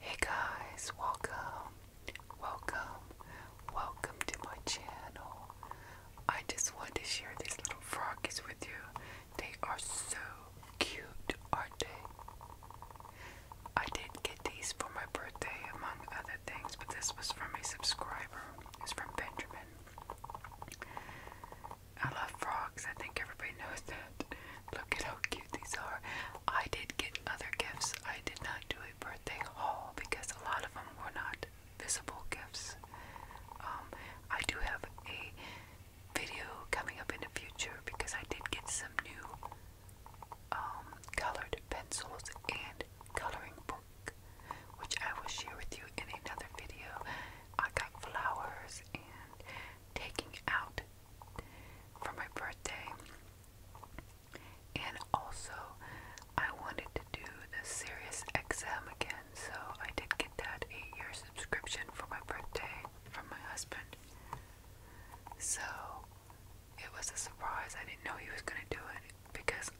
Hey guys, welcome, welcome, welcome to my channel. I just want to share these little froggies with you. They are so cute, aren't they? I did get these for my birthday, among other things, but this was from a subscriber is from Benjamin. I love frogs. I think everybody knows that. Look at how cute these are. I did get other gifts. I did not do a birthday haul because a lot of them were not visible gifts. Um, I do have a video coming up in the future because I did get some new um, colored pencils and coloring books which I will share with you in another video. I got flowers and taking out for my birthday. And also, I wanted to do the Sirius XM again, so I did get that eight year subscription for my birthday from my husband. So, it was a surprise. I didn't know he was going to do it because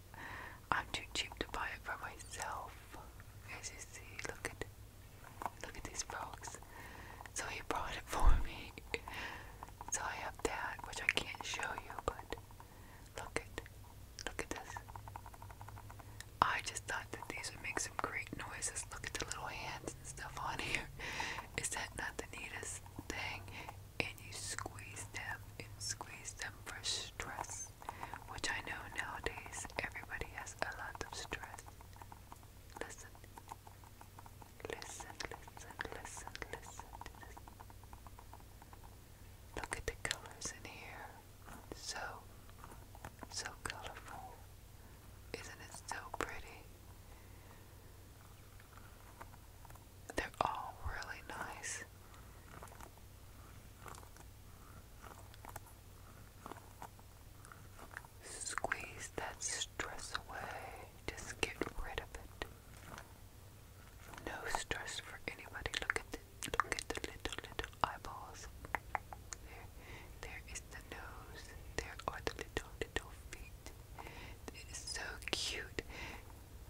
I'm too cheap to buy it for myself. As you see, look at look at these frogs. So he brought it for me. So I have that, which I can't show you, but look at look at this. I just thought that these would make some great noises. Look at the little hands and stuff on here. Is that not the neatest thing? and you squeeze them and squeeze them for stress, which I know nowadays everybody has a lot of stress. Listen, listen, listen, listen, listen to this. Look at the colors in here. So, so colorful. Isn't it so pretty? They're all really nice. Squeeze that stress away. Just get rid of it. No stress for anybody. Look at the look at the little little eyeballs. There, there is the nose. There are the little little feet. It is so cute.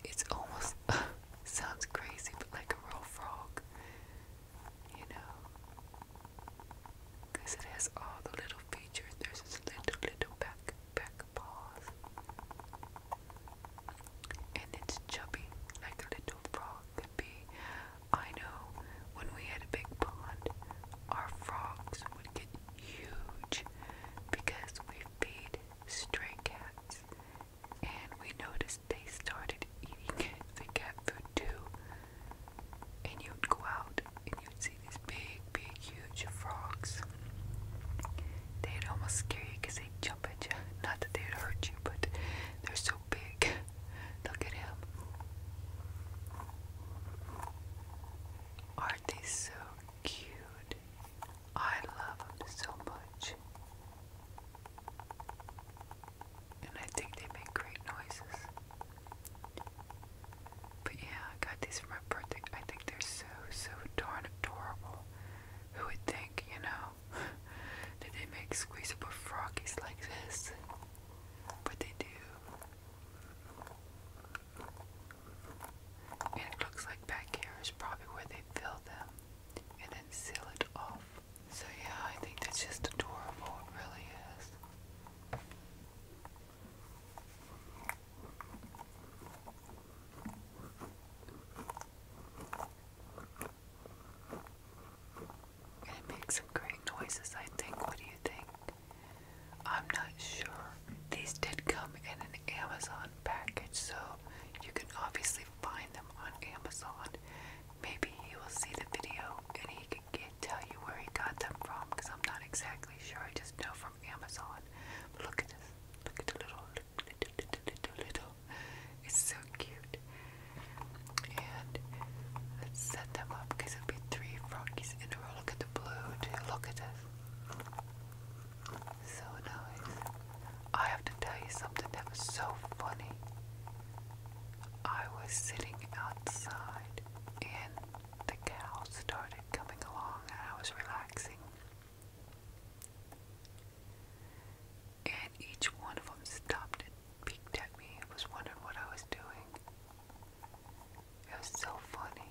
It's almost sounds crazy, but like a real frog, you know, because it has all the little features. There's this little, little back, back paws, and it's chubby, like a little frog could be. I know when we had a big pond, our frogs would get huge because we feed stray cats and we noticed they started eating the cat food too. And you'd go out and you'd see these big, big, huge frogs. they almost scare you they jump at you. Not that they'd hurt you, but they're so big. Look at him. Aren't they so cute? I love them so much. And I think they make great noises. But yeah, I got these for my birthday. I think they're so, so darn adorable. Who would think, you know, that they make squeezable froggies like this? But they do. And it looks like back here is probably where they fill them and then seal it off. So yeah, I think that's just adorable, it really is. it makes some great noises, I think. What do you think? I'm not sure. These did come in an Amazon package, so you can obviously find them on Amazon. Maybe he will see the video and he can tell you where he got them from because I'm not exactly sure. I just know from Amazon. look at this. Look at the little, It's so cute. And let's set them up because it'll be three froggy look at the blue Look at this. So nice. I have to tell you something that was so funny. I was sitting outside and the cows started coming along and I was relaxing. And each one of them stopped and peeked at me and was wondering what I was doing. It was so funny.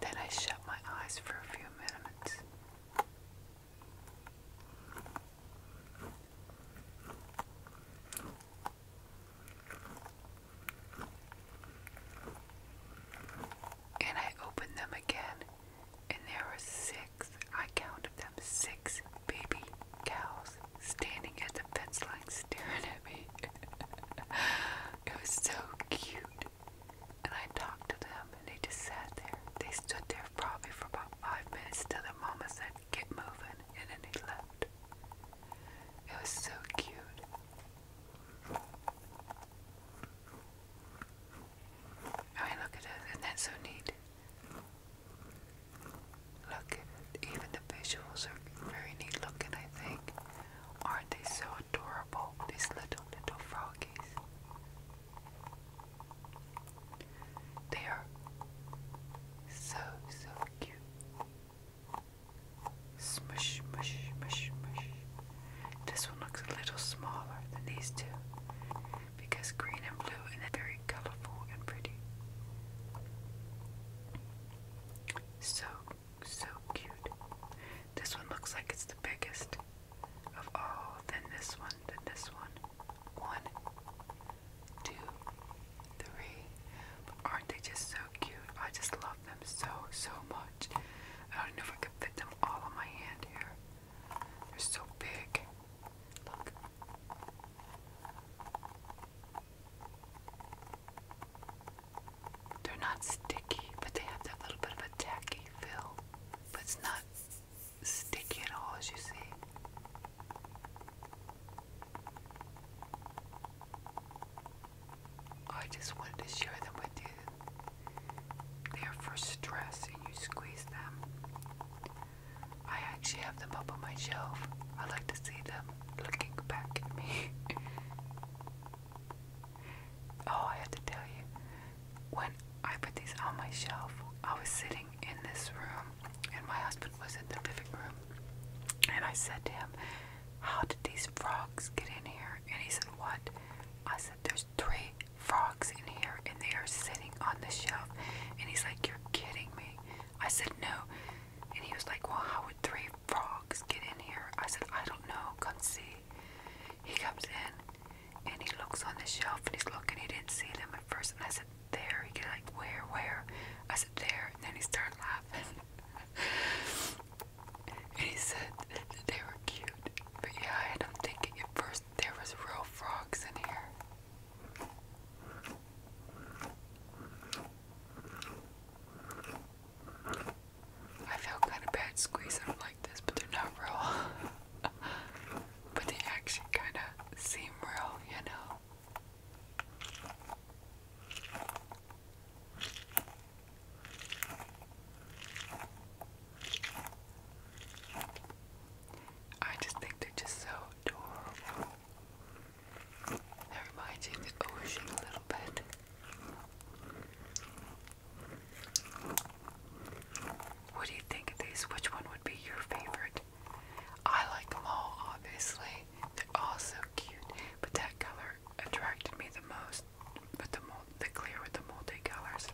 Then I shut my eyes for a few minutes. And I opened them again, and there were six six. I counted them six baby cows standing at the fence line staring at me. it was so cute. And I talked to them and they just sat there. They stood there probably for about five minutes till their mama said, Get moving. And then they left. It was so cute. I look at this, isn't so neat? Look even the visuals are very neat looking, I think. Aren't they so adorable, these little, little froggies? They are so, so cute. Smush, mush, mush, mush. This one looks a little smaller than these two because green and blue are very colorful and pretty. So, so cute. This one looks like it's the biggest of all. Then this one, then this one. One, two, three. aren't they just so cute? I just love them so, so much. I don't know if I could fit them all on my hand here. They're so big. Look. They're not sticky, but they have that little bit of a tacky feel. But it's not sticky at all, as you see. Oh, I just wanted to share them with you they're for stress and you squeeze them. I actually have them up on my shelf. I like to see them looking back at me. oh, I have to tell you, when I put these on my shelf, I was sitting in this room and my husband was in the living room. And I said to him, How did these frogs get in here? And he said, What? I said, There's three frogs in here and they are sitting on the shelf. And he's like, You're kidding me. I said, No. And he was like, Well, how would three frogs get in here? I said, I don't know. Come see. He comes in and he looks on the shelf and he's looking. He didn't see them at first. And I said, There. He get like, Where, where? I said, There. And then he started laughing. and he said that they were cute. But yeah, I don't think at first there was real frogs in here. I feel kind of bad squeezing them like this, but they're not real. but they actually kind of seem real, you know. I just think they're just so adorable. That reminds you of the ocean a little bit. What do you think of these? Which one would be your favorite? I like them all, obviously. They're all so cute, but that color attracted me the most with the mold, the clear with the multi colors.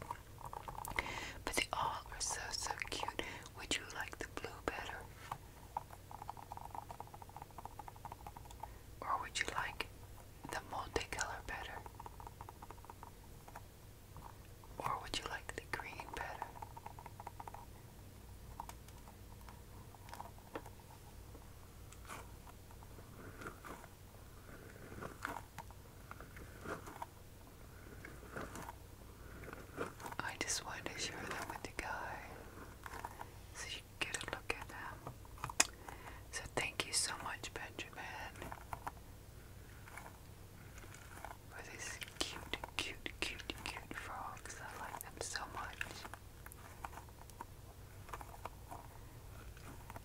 But they all are so so cute. Would you like the blue better? Or would you like the multicolor better? Or would you like the green better? I just wanted to share that with you guys so you get a look at them. So thank you so much, Benjamin, for these cute, cute, cute, cute frogs. I like them so much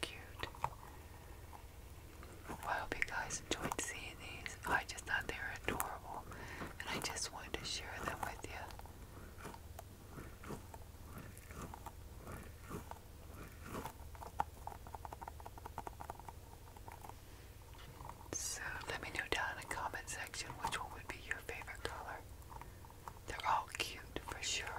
cute. I hope you guys enjoyed seeing these. I just thought they were adorable, and I just wanted to share them with you. So let me know down in the comment section which one would be your favorite color. They're all cute for sure.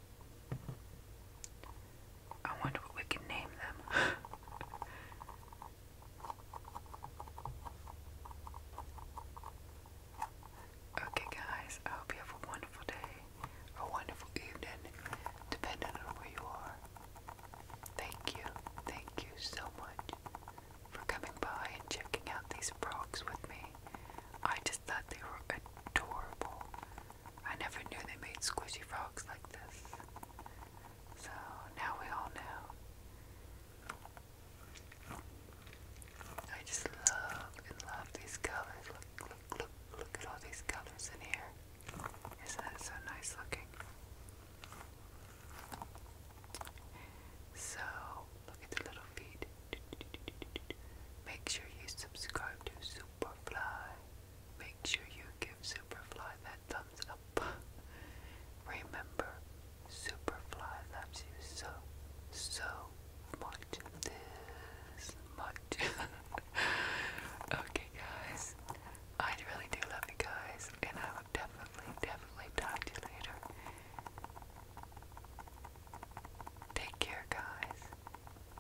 I wonder what we can name them. okay, guys, I hope you have a wonderful day, a wonderful evening, depending on where you are. Thank you, thank you so much for coming by and checking out these frogs with me. I just thought they were adorable. I never knew they made squishy frogs like this. So now we all know. I just love and love these colors. Look, look, look, look at all these colors in here. Isn't that so nice looking? So, look at the little feet. Make sure you subscribe to Superfly. Make sure you give Superfly that thumbs up. Remember, Superfly loves you so, so much. okay, guys. I really do love you guys, and I will definitely, definitely talk to you later. Take care, guys.